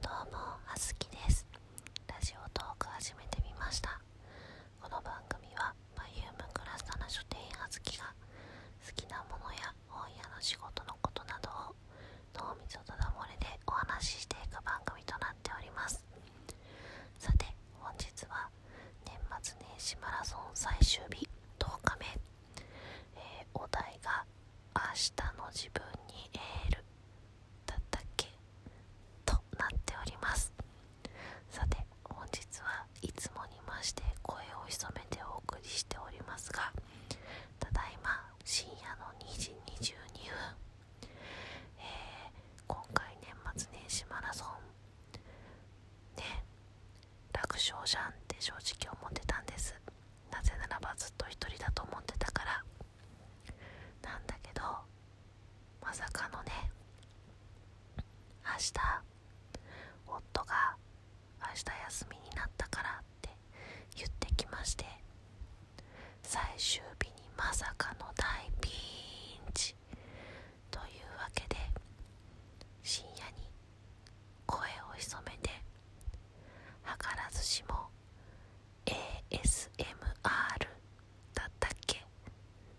どうも、あずきですラジオトーク始めてみましたこの番組はバイウムクラスタの書店あはずきが好きなものや本屋の仕事のことなどを脳みそとだ漏れでお話ししていく番組となっておりますさて本日は年末年始マラソン最終日10日目、えお題が「明日の自分にエール」だったっけとなっておりますさて本日はいつもに増して声を潜めてお送りしておりますがただいま深夜の2時22分、え今回年末年始マラソンね楽勝じゃんって正直思ってたんですなぜならばずっと一人だと思ってたからなんだけどまさかのね明日夫が明日休みになったからって言ってきまして最終日にまさかの大ピンチというわけで深夜に声を潜めて図らずしも ASMR だったっけ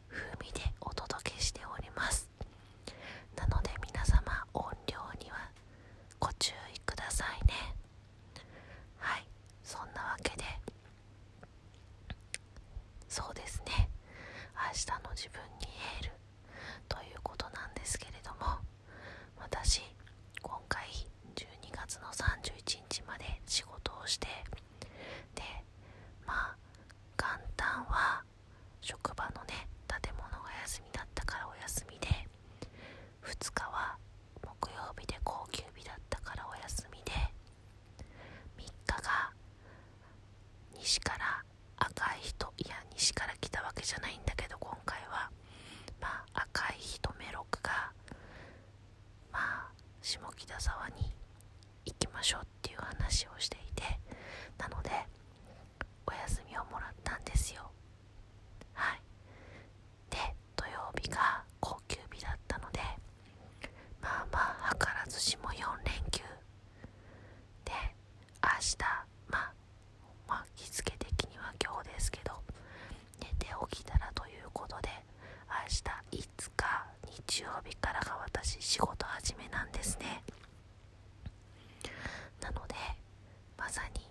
風味でお届けしておりますなので皆様音量にはご注意くださいねはいそんなわけでそうですね明日の自分にエールということなんですけれども私今回12月の31日まで仕事をしてでまあ元旦は職場のね建物が休みだったからお休みで2日は木曜日で高級日だったからお休みで3日が西から赤い人いや西から来たわけじゃないんだけど今回はまあ赤いヒトメがまあ下北沢に行きましょうっていう話をしていてなのでお休みをもらったんですよはいで土曜日が高級日だったのでまあまあ図らずしも4連休で明日まあまあ日付的には今日ですけど寝て起きたらということで明日5日日曜日からが私仕事始めなんですねなのでまさに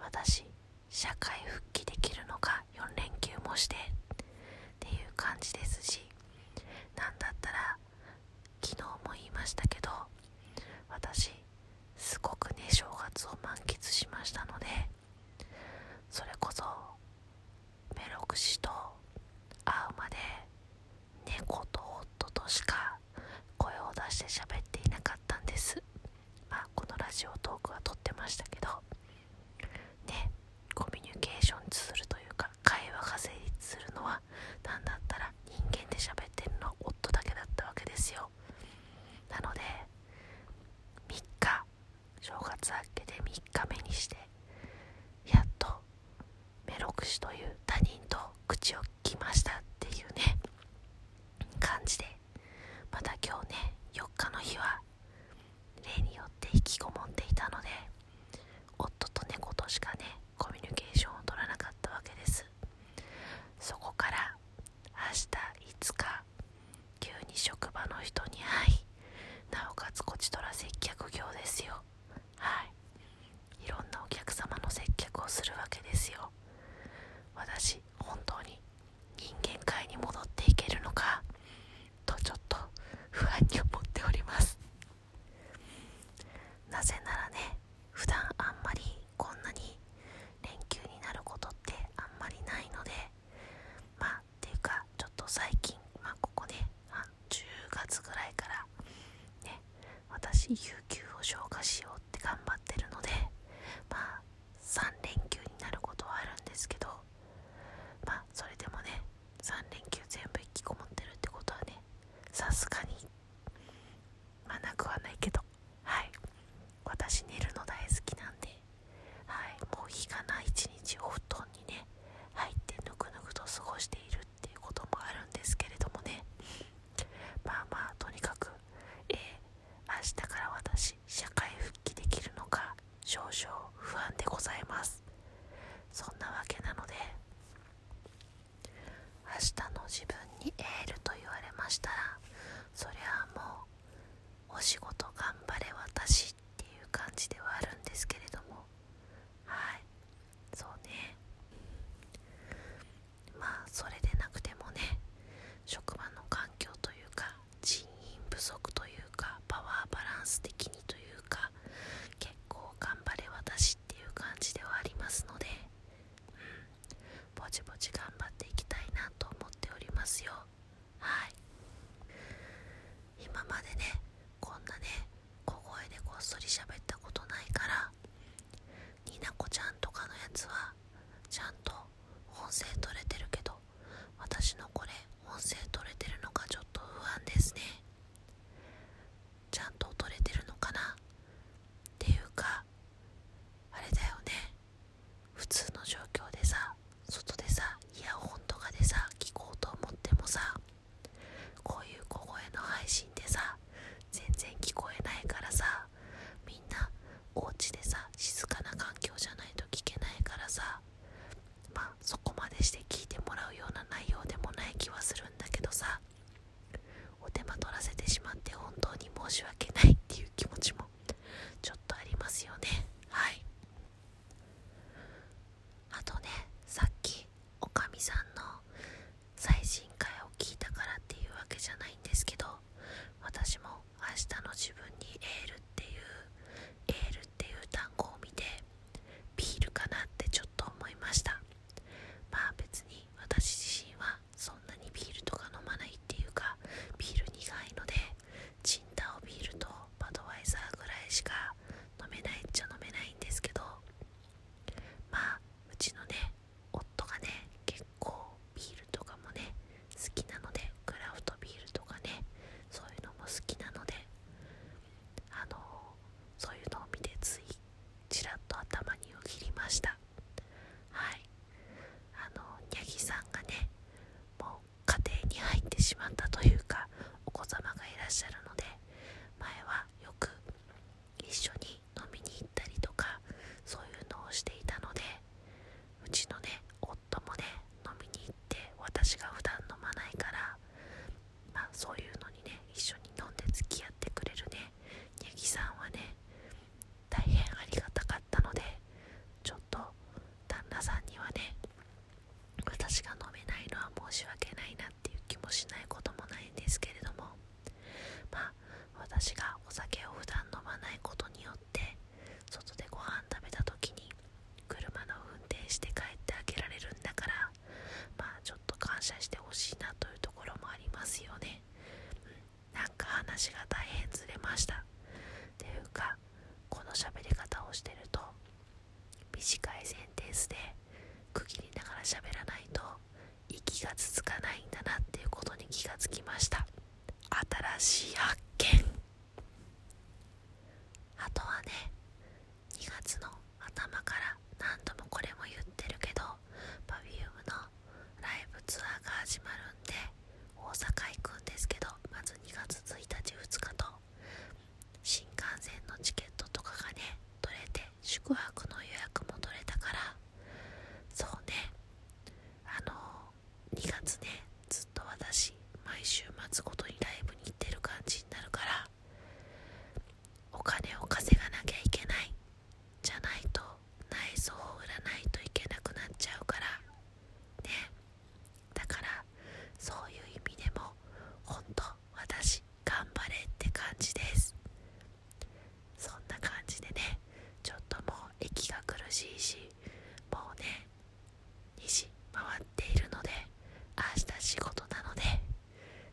私社会復帰できるのか4連休もしてっていう感じですしなんだったら昨日も言いましたけど私すごくね正月を満喫しましたのでそれこそメロクシと会うまで猫と夫としか声を出して喋っていなかったんですまあこのラジオトークは撮ってましたけどねコミュニケーションするというか会話が成立するのは何だったら人間で喋ってるのは夫だけだったわけですよなので3日正月明けて3日目にしてやっとメロクシという他人と口を利きましたっていうね感じでまた今日ね4日の日は例によって引きこもっていたので夫と猫としかねコミュニケーションをとらなかったわけですそこから明日5日急に職場の人に「はいなおかつこちとら接客業ですよはいいろんなお客様の接客をするわけですよ私本当に人間界に戻っていけるのかとちょっと不安に思っておりますなぜならね普段あんまりこんなに連休になることってあんまりないのでまあっていうかちょっと最近まあここね10月ぐらいからね私有給を消化しようって頑張ってるのでまあ3連休になることはあるんですけどまあそれでもね3連休全部引きこもってるってことはねさすがにまあなくはないけどはい私寝るの大好きなんで、はい、もう日がない一日お布団にね入ってぬくぬくと過ごしているっていうこともあるんですけれどもねまあまあとにかく、えー、明日から私社会復帰できるのか少々不安でございますそんなわけなので明日の自分にエールと言われましたらそりゃあもうお仕事頑張れ私っていう感じではあるんですけれどもはいそうねまあそれでなくてもね職場の環境というか人員不足というかパワーバランス的にというか結構頑張れ私っていう感じではありますのでぼちぼち頑張っていきたいなと思っておりますよはい今までねこんなね小声でこっそり喋ったことないからになこちゃんとかのやつはちゃんと音声取れてるけど私のこれ音声取れてるのかちょっと不安ですねちゃんと取れてるのかなっていうかあれだよね普通の状況でさ外でさイヤホンとかでさ聞こうと思ってもさこういう小声の配信でさ全然聞こえないからさみんなお家でさ静かな環境じゃないと聞けないからさまあそこまでして聞いてもらうような内容でもない気はするんだけどさお手間取らせてしまって本当に申し訳ないっていう気持ちもちょっとありますよねはいあとねさっきおかみさんの最新回を聞いたからっていうわけじゃないんですけど私も明日の自分にエールっていうエールっていう単語を見てビールかなってちょっと思いましたまあ別に私自身はそんなにビールとか飲まないっていうかビール苦いのでチンタオビールとバドワイザーぐらいしか飲めないっちゃ飲めないんですけどまあうちのね夫がね結構ビールとかもね好きなのでクラフトビールとかねそういうのも好きなのであのそういうのを見てついちらっと頭によぎりましたはいあのニャギさんがねもう家庭に入ってしまったというかお子様がいらっしゃるので前はよく一緒に飲みに行ったりとかそういうのをしていたのでうちのね夫もね飲みに行って私が普段飲まないからそういうのにね一緒に飲んで付き合ってくれるねニャギさんはね大変ありがたかかのでちょっと旦那さんにはね私が飲めないのは申し訳ないなっていう気もしないこともないんですけれどもまあ私がお酒を普段飲まないことによって外でご飯食べた時に車の運転して帰ってあげられるんだからまあちょっと感謝してほしいなというところもありますよね、なんか話が大変ずれましたっていうかこの喋り方をしてると短いセンテンスで区切りながら喋らないと息が続かないんだなっていうことに気がつきました新しい発見あとはね2月の頭から何度もこれも言ってるけど Perfume のライブツアーが始まるんで大阪行くんですけどまず2月1日2日と新幹線のチケットとかがね取れて宿泊の予約も取れたからそうねあの2月ねずっと私毎週末ごとにライブに行ってる感じになるからお金を稼がなきゃいけないじゃないと内装を売らないといけなくなっちゃうからねだからそういう意味でもほんと私頑張れって感じですそんな感じでねちょっともう息が苦しいしもうね2時回っているので明日仕事なので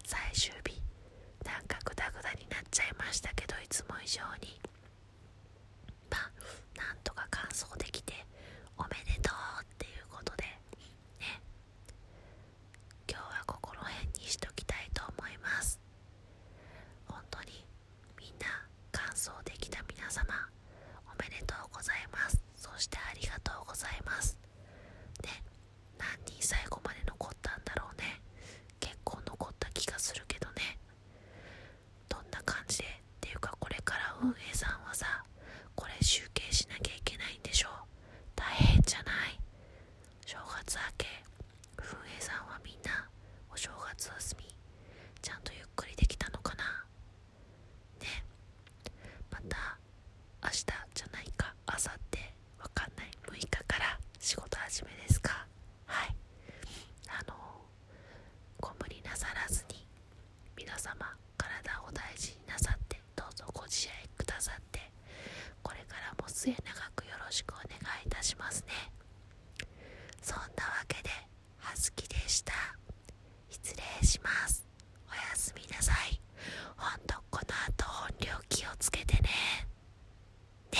最終日なんかグダグダになっちゃいましたけどいつも以上にまあなんとか完走できておめでとうっていうことでね今日はここら辺にしときたいと思います本当にみんな完走できた皆様おめでとうございますそしてありがとうございますで、何人最後まで残ったんだろうね結構残った気がするけどねどんな感じでっていうかこれから運営さんはさこれ集計しなきゃいけないんでしょ大変じゃない正月明け運営さんはみんなお正月休みちゃんとゆっくりできたのかなねまた明日じゃないか明後日わかんない6日から仕事始めですかはいあのご無理なさらずに皆様体を大事になさってどうぞご自愛くださってこれからも末永くよろしくお願いいたしますねそんなわけではずきでした失礼しますおやすみなさいほんとこの後音量気をつけてねね